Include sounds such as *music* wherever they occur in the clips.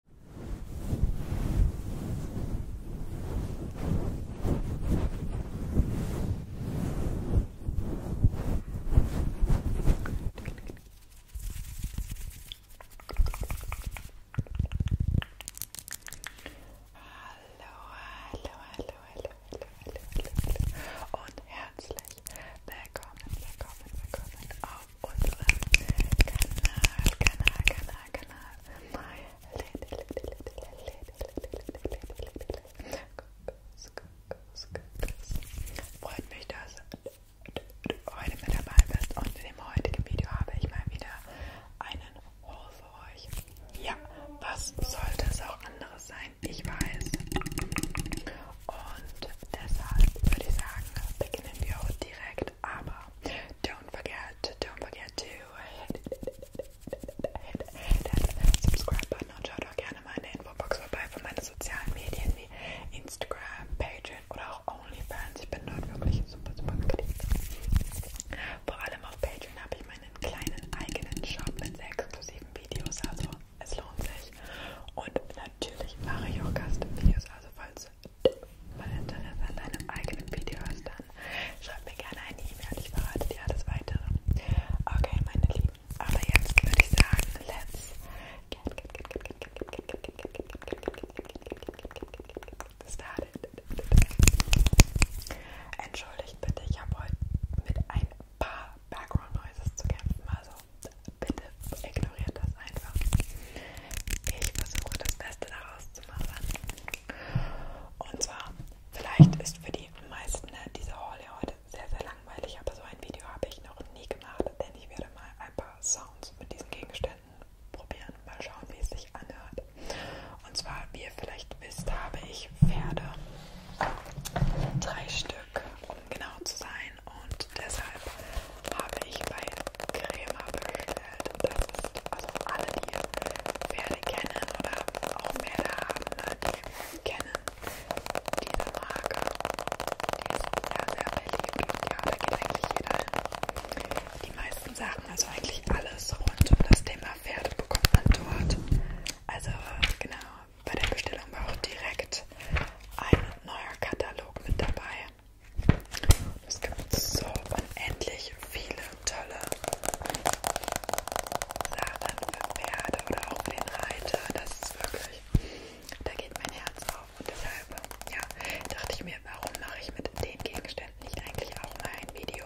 hallo, hallo, hallo, hallo, hallo, hallo und herzlich willkommen, willkommen, willkommen auf unserem Kanal, Kanal, Kanal, Kanal. Freut mich, dass du heute mit dabei bist und in dem heutigen Video habe ich mal wieder einen Haul für euch. Ja, was sollte es auch anderes sein? Ich weiß. Und deshalb würde ich sagen, beginnen wir heute nicht direkt, aber don't forget, don't forget to hit, hit, hit that subscribe button und schaut auch gerne mal in der Infobox vorbei für meine sozialen Medien wie Instagram, Patreon oder auch OnlyFans. Ich bin dort wirklich super, super aktiv. Vor allem auf Patreon habe ich meinen kleinen eigenen Shop mit sehr exklusiven Videos, also es lohnt sich. Und natürlich mache ich auch Gastvideos, also falls mein Interesse an deinem eigenen Video ist, dann schreib mir gerne eine E-Mail und ich verrate dir alles weitere. Okay, meine Lieben, aber jetzt würde ich sagen, let's get started. Entschuldigt bitte, ich habe heute mit ein paar Background Noises zu kämpfen, also bitte ignoriert das einfach. Ich versuche das Beste daraus zu machen. Und zwar, vielleicht ist für die meisten ne, diese Haul ja heute sehr, sehr langweilig, aber so ein Video habe ich noch nie gemacht, denn ich werde mal ein paar Sounds mit diesen Gegenständen probieren, mal schauen, wie es sich anhört. Und zwar, wie ihr vielleicht wisst, habe ich Pferde, drei Stück um genau zu sein. Und deshalb habe ich bei Crema bestellt. Das ist also alle, die Pferde kennen oder auch Pferde haben, ne, die kennen diese Marke. Die ist ja sehr beliebt und ja, da geht eigentlich jeder hin. Die meisten Sachen, also eigentlich alles rund um das Thema Pferde bekommt man dort. Also genau, bei der Bestellung war auch direkt ein neuer Katalog mit dabei. Und es gibt so unendlich viele tolle Sachen für Pferde oder auch für den Reiter. Das ist wirklich, da geht mein Herz auf. Und deshalb ja, dachte ich mir, warum mache ich mit den Gegenständen nicht eigentlich auch mal ein Video?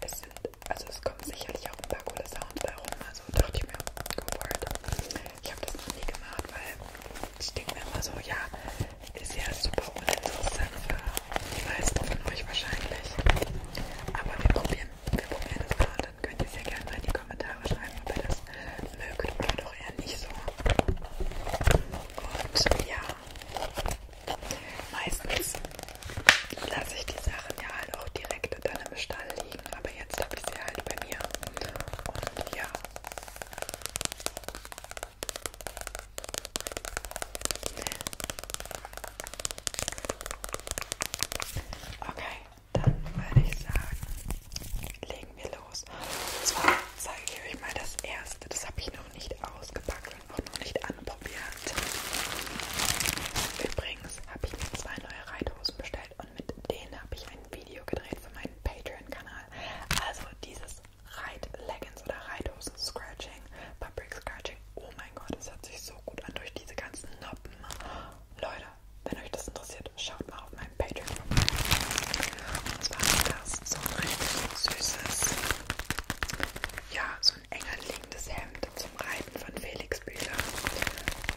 Es sind, also es kommen sicherlich auch ein paar coole Sounds bei rum, also dachte ich mir, go for it. Ich habe das noch nie gemacht, weil ich denke mir immer so, ja, ist ja super uninteressant für die meisten von euch wahrscheinlich. Aber wir probieren, wir probieren das mal und dann könnt ihr sehr gerne mal in die Kommentare schreiben, ob ihr das mögt oder doch eher nicht so. Und ja, meistens lasse ich die Sachen ja halt auch direkt hätte dann im Stall liegen, aber jetzt habe ich sie halt bei mir. Und ja. Okay, dann würde ich sagen, legen wir los. Und zwar zeige ich euch mal das erste. Das habe ich noch nicht ausgepackt und auch noch nicht anprobiert. Übrigens habe ich mir zwei neue Reithosen bestellt und mit denen habe ich ein Video gedreht für meinen Patreon-Kanal. Also dieses Reit-Leggings oder Reithosen-Scratching, Fabric-Scratching, oh mein Gott, es hört sich so gut an durch diese ganzen Noppen. Leute, wenn euch das interessiert, schaut mal auf meinem Patreon vorbei. Und zwar ist das so ein richtig süßes, ja, so ein enger liegendes Hemd zum Reiten von Felix Bühler.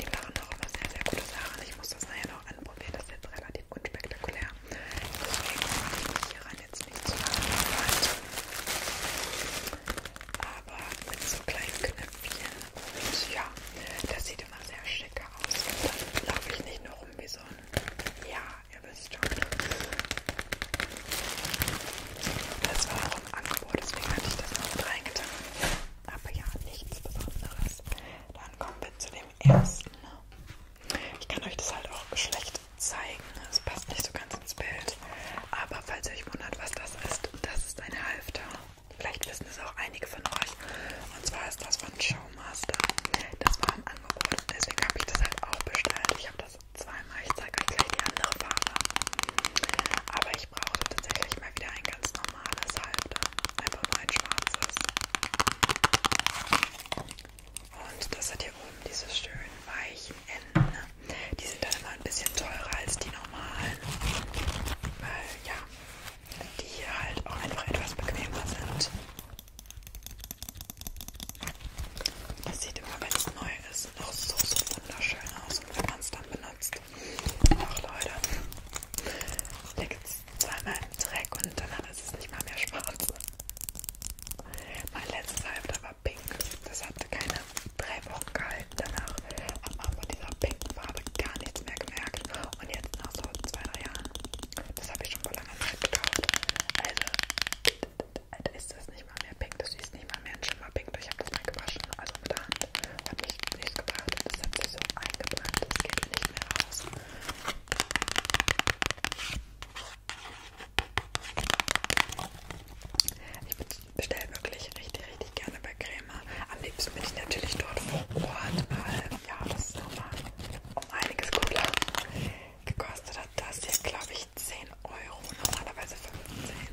Die machen auch immer sehr, sehr gute Sachen. Ich muss das nachher noch anprobieren. Das ist jetzt relativ unspektakulär. Deswegen mache ich mich hieran jetzt nicht zu lange Aber mit so kleinen Knöpfchen. Und ja, das sieht immer sehr schick aus. Dann laufe ich nicht nur rum wie so ein. Ja, ihr wisst schon. Das war auch im Angebot, deswegen hatte ich das noch mit reingetan. Aber ja, nichts Besonderes. Dann kommen wir zu dem ersten. Ich kann euch das halt auch schlecht zeigen. Es passt nicht so ganz ins Bild. Aber falls ihr euch wundert, was das ist, das ist ein Halfter. Vielleicht wissen es auch einige von euch. Und zwar ist das von Showmaster. Das war im Angebot. Deswegen habe ich das halt auch bestellt. Ich habe das zweimal. Ich zeige euch gleich die andere Farbe. Aber ich brauchte tatsächlich mal wieder ein ganz normales Halbter. Ne? Einfach nur ein schwarzes. Und das hat hier oben diese schönen weichen Enden. Ne? Die sind dann immer ein bisschen teurer als die normalen. Weil, ja, die hier halt auch einfach etwas bequemer sind. Das sieht immer, wenn es neu ist, noch so, so wunderschön aus. Und wenn man es dann benutzt, Ach Leute, liegt zweimal im Dreck und danach ist es nicht mal mehr schwarz. Mein letztes Halfter war pink. Das hatte keine drei Wochen gehalten. Danach hat man von dieser pinken Farbe gar nichts mehr gemerkt. Und jetzt nach so zwei, drei Jahren. Das habe ich schon vor langer Zeit gekauft. Also, Alter, ist das nicht nicht mal mehr pink, das ist nicht mal mehr ein Schimmerpink. Ich habe das mal gewaschen, also mit der Hand. Hat mich nichts gebracht und das hat sich so eingebrannt, das geht nicht mehr raus. Ich bestelle wirklich richtig, richtig gerne bei Crema. Am liebsten bin ich natürlich dort vor Ort, weil ja, das ist nochmal um einiges cooler. Gekostet hat das hier, glaube ich, 10 Euro, normalerweise 15.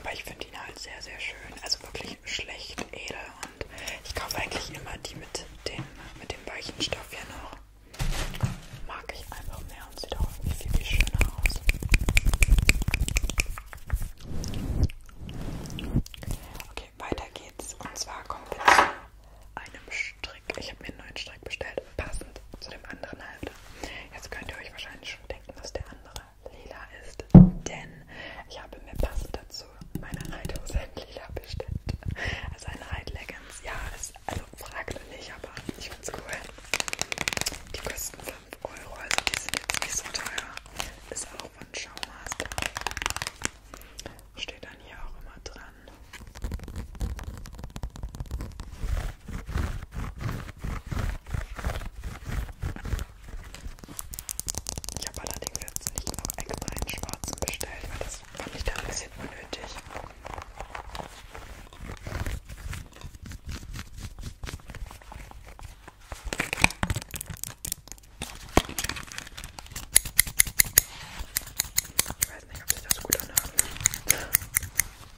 Aber ich finde ihn halt sehr, sehr schön. Also wirklich schlecht edel. Und ich kaufe eigentlich immer die mit, den, mit dem weichen Stoff hier noch. Mag ich einfach mehr und sieht auch irgendwie viel, viel schöner aus. Okay, weiter geht's. Und zwar kommen wir zu einem Strick. Ich habe mir einen neuen Strick bestellt, passend zu dem anderen Halfter. Jetzt könnt ihr euch wahrscheinlich schon denken, dass der andere lila ist, denn ich habe mir passend dazu meine Reithose in lila bestellt. Also eine Reitleggings, ja, ist, also fragte nicht, aber ich find's cool. Die kosten 5 Euro, also die sind jetzt nicht so teuer. Ist auch von Showmaster. Steht dann hier auch immer dran. Ich habe allerdings jetzt nicht noch extra einen schwarzen bestellt, weil das fand ich da ein bisschen unnötig. Ich weiß nicht, ob sich das gut anhört.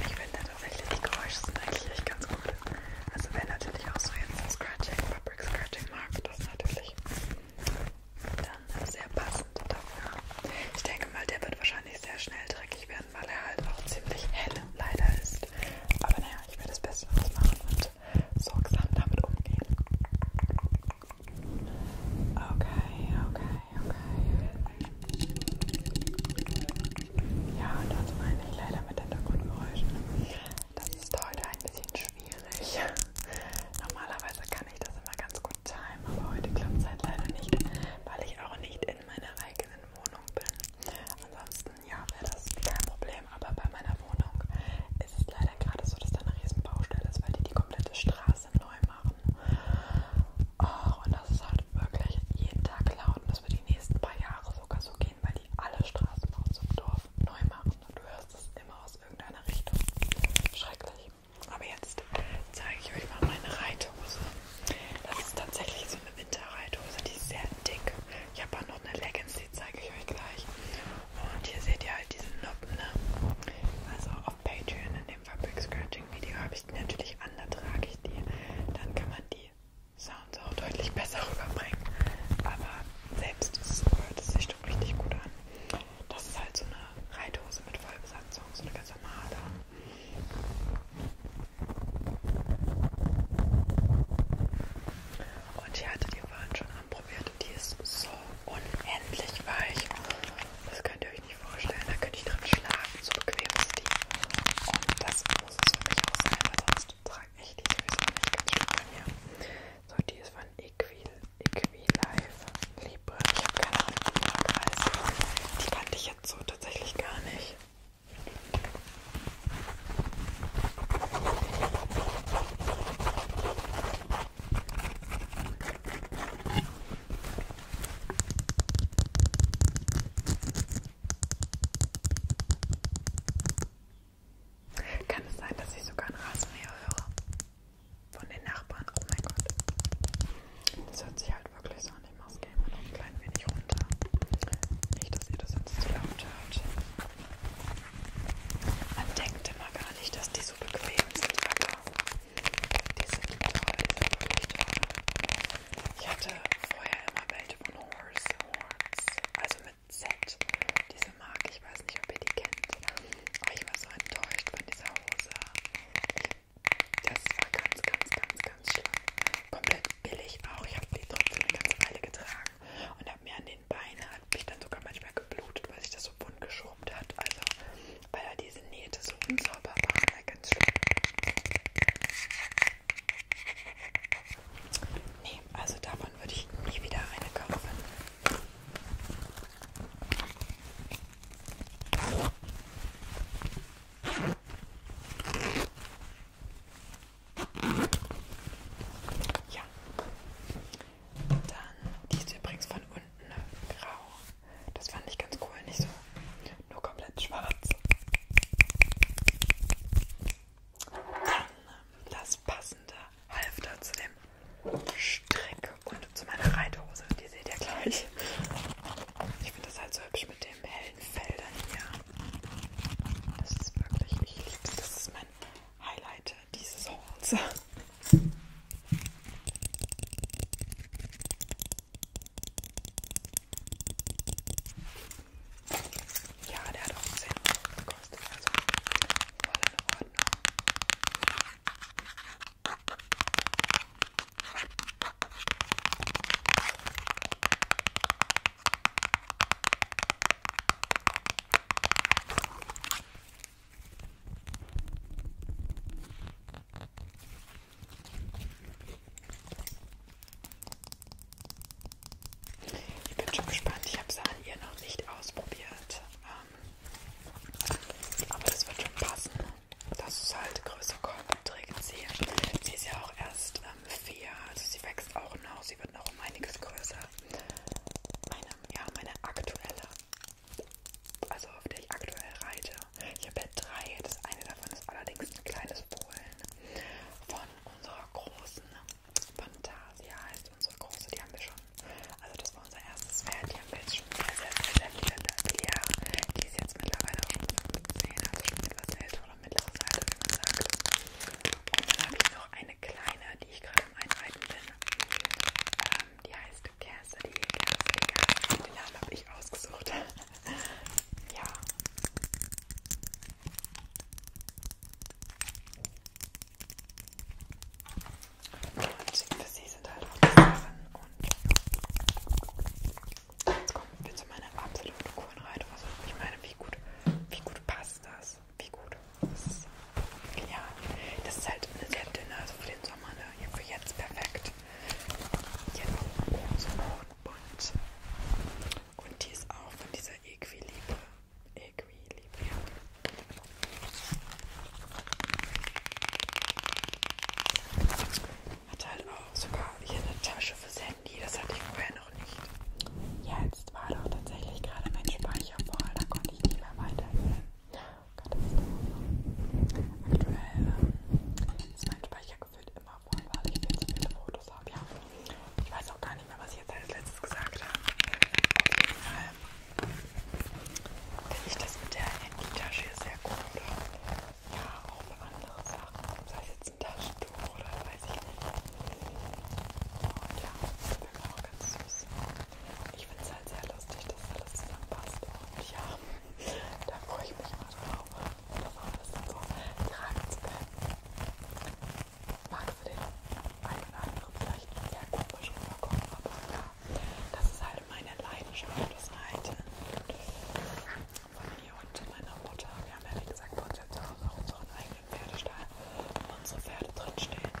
Ich finde tatsächlich, die Geräusche sind eigentlich echt ganz gut. Also wer natürlich auch so jetzt ein Scratching, Fabric Scratching mag, das natürlich dann sehr passend dafür. Ich denke mal, der wird wahrscheinlich kann ich sehr schnell dreckig werden, weil er halt auch ziemlich hell leider ist. Aber naja, ich werde das Beste draus machen und sorgsam damit umgehen. Okay, okay, okay. Ja, und das meine ich leider mit Hintergrundgeräuschen. Das ist heute ein bisschen schwierig. *laughs* Normalerweise kann ich das immer ganz gut timen, aber heute klappt es halt leider nicht, weil ich auch nicht in meiner eigenen Wohnung bin. Ansonsten, ja, wäre das kein Problem, aber bei meiner Wohnung ist es leider gerade so, dass da eine riesen Baustelle ist, weil die die komplette Straße neu machen. Oh, und das ist halt wirklich jeden Tag laut und das wird die nächsten paar Jahre sogar so gehen, weil die alle Straßen aus dem Dorf neu machen und du hörst es immer aus irgendeiner Richtung. Schrecklich. Aber jetzt zeige ich euch mal meine Reithose. Das ist tatsächlich so eine Winterreithose, die ist sehr dick. Ich habe auch noch eine Leggings, die zeige ich euch gleich. Und hier seht ihr halt diesen Noppen, ne? Also auf Patreon in dem Fabric Scratching Video habe ich die natürlich an, da trage ich die. Dann kann man die Sounds auch deutlich besser rüberbringen. Aber selbst das hört es sich doch richtig gut an. Das ist halt so eine Reithose mit Vollbesatzung, so eine ganz normale. Und ich hatte die Waren schon anprobiert und die ist so unendlich weich. Das könnt ihr euch nicht vorstellen. Da könnte ich drin schlafen, so bequem ist die. Und das muss es für mich auch sein, weil sonst trage ich die sowieso nicht ganz schön bei mir. So, die ist von Equil, Equilife Libre. Ich habe keine Ahnung, wie die heißt. Die kannte ich jetzt so tatsächlich gar nicht. Kann es sein, dass ich sogar ein Rasenmäher höre? Von den Nachbarn, oh mein Gott. Das hört sich halt wirklich so an. Ich mach's gerne mal noch ein klein wenig runter. Nicht, dass ihr das sonst zu laut hört. Man denkt immer gar nicht, dass die so bequem sind, aber die sind toll, die sind wirklich toll. Ich hatte vorher immer welche von Horse Horns, also mit Z. Die Marke mag. Ich weiß nicht, ob ihr die kennt. Aber ich war so enttäuscht von dieser Hose. Das war ganz, ganz, ganz, ganz schlimm. Komplett billig auch. Ich habe die trotzdem eine ganze Weile getragen und habe mir an den Beinen, hat mich dann sogar manchmal geblutet, weil sich das so bunt geschrumpft hat. Also, weil da diese Nähte so unsauber waren, war ganz schlimm. Nee, also davon würde ich nie wieder eine kaufen. Ja. Dann, die ist übrigens von unten grau. Das fand ich ganz cool, nicht so nur komplett schwarz. Dann ähm, das passende half da zu dem Strick und zu meiner Reithose. Die seht ihr gleich. Ich finde das halt so hübsch mit den hellen Feldern hier. Das ist wirklich, ich liebe das. Das ist mein Highlight dieses Hauls. Ja, der hat auch 10 Euro gekostet, also voll in ich bin schon gespannt, ich habe es an ihr noch nicht ausprobiert. Ähm, aber das wird schon passen, dass es halt größer kommt, trägt sie. Sie ist ja auch erst ähm, vier, also sie wächst auch noch, sie wird noch um einiges größer. Meine, ja, meine aktuelle, also auf der ich aktuell reite. Ich habe ja drei, das eine davon ist allerdings ein kleines Polen von unserer großen Fantasia heißt unsere große, die haben wir schon. Also das war unser erstes Pferd, die haben wir jetzt schon sehr, sehr, sehr, sehr viele, viele Jahre. Die ist jetzt mittlerweile auch schon 15, also schon etwas älter oder mittleres Alter, wie man sagt. Und dann habe ich noch eine kleine, die ich gerade am Einreiten bin. Ähm, die heißt Cassidy, Cassidy, Cassidy. Den Namen habe ich ausgesucht. *laughs* ja. Und für sie sind halt auch Sachen und jetzt kommen wir zu meiner absoluten Kurenreitung. Also ich meine, wie gut, wie gut passt das? Wie gut? Das ist genial. Das ist halt eine sehr dünne, also für den Sommer, ne? Ja, für jetzt perfekt. Jetzt oben so hoch und bunt. Und die ist auch von dieser Equilibre Equilibrium. Hat halt auch sogar hier eine Tasche fürs Handy, das hatte ich vorher noch nicht. Jetzt war doch tatsächlich gerade mein Speicher voll, da konnte ich nicht mehr weiterhören. Aktuell ähm, ist mein Speicher gefühlt immer voll, weil ich viel zu viele Fotos habe. Ja, ich weiß auch gar nicht mehr, was ich jetzt als letztes gesagt habe. Auf jeden Fall finde ich das mit der Handytasche sehr gut. Oder? Ja, auch für andere Sachen. Sei es jetzt ein Taschentuch oder weiß ich nicht. Und ja, das ist wirklich auch ganz süß. Ich finde es halt sehr lustig, dass alles zusammenpasst. Und ja, da freue ich mich immer drauf, das alles dann so tragen zu können mag für den einen oder anderen vielleicht sehr komisch rüberkommen, aber ja, das ist halt meine Leidenschaft, das halt von mir und meiner Mutter. Wir haben ja wie gesagt bei uns zu Hause auch unseren eigenen Pferdestall, wo unsere Pferde drinstehen.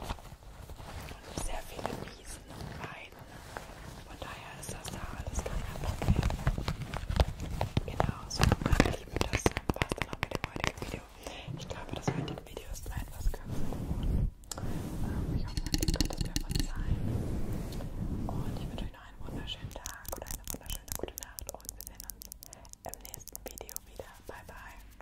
Und sehr viele Wiesen und Weiden. Von daher ist das da alles gar kein Problem. Genau, so mag ich liebe, das war's dann auch mit dem heutigen Video. Ich glaube, das heutige Video ist ein etwas kürzer geworden. Ähm, ich hoffe, ihr könnt es mir verzeihen. Und ich wünsche euch noch einen wunderschönen Tag oder eine wunderschöne gute Nacht. Und wir sehen uns im nächsten Video wieder. Bye, bye.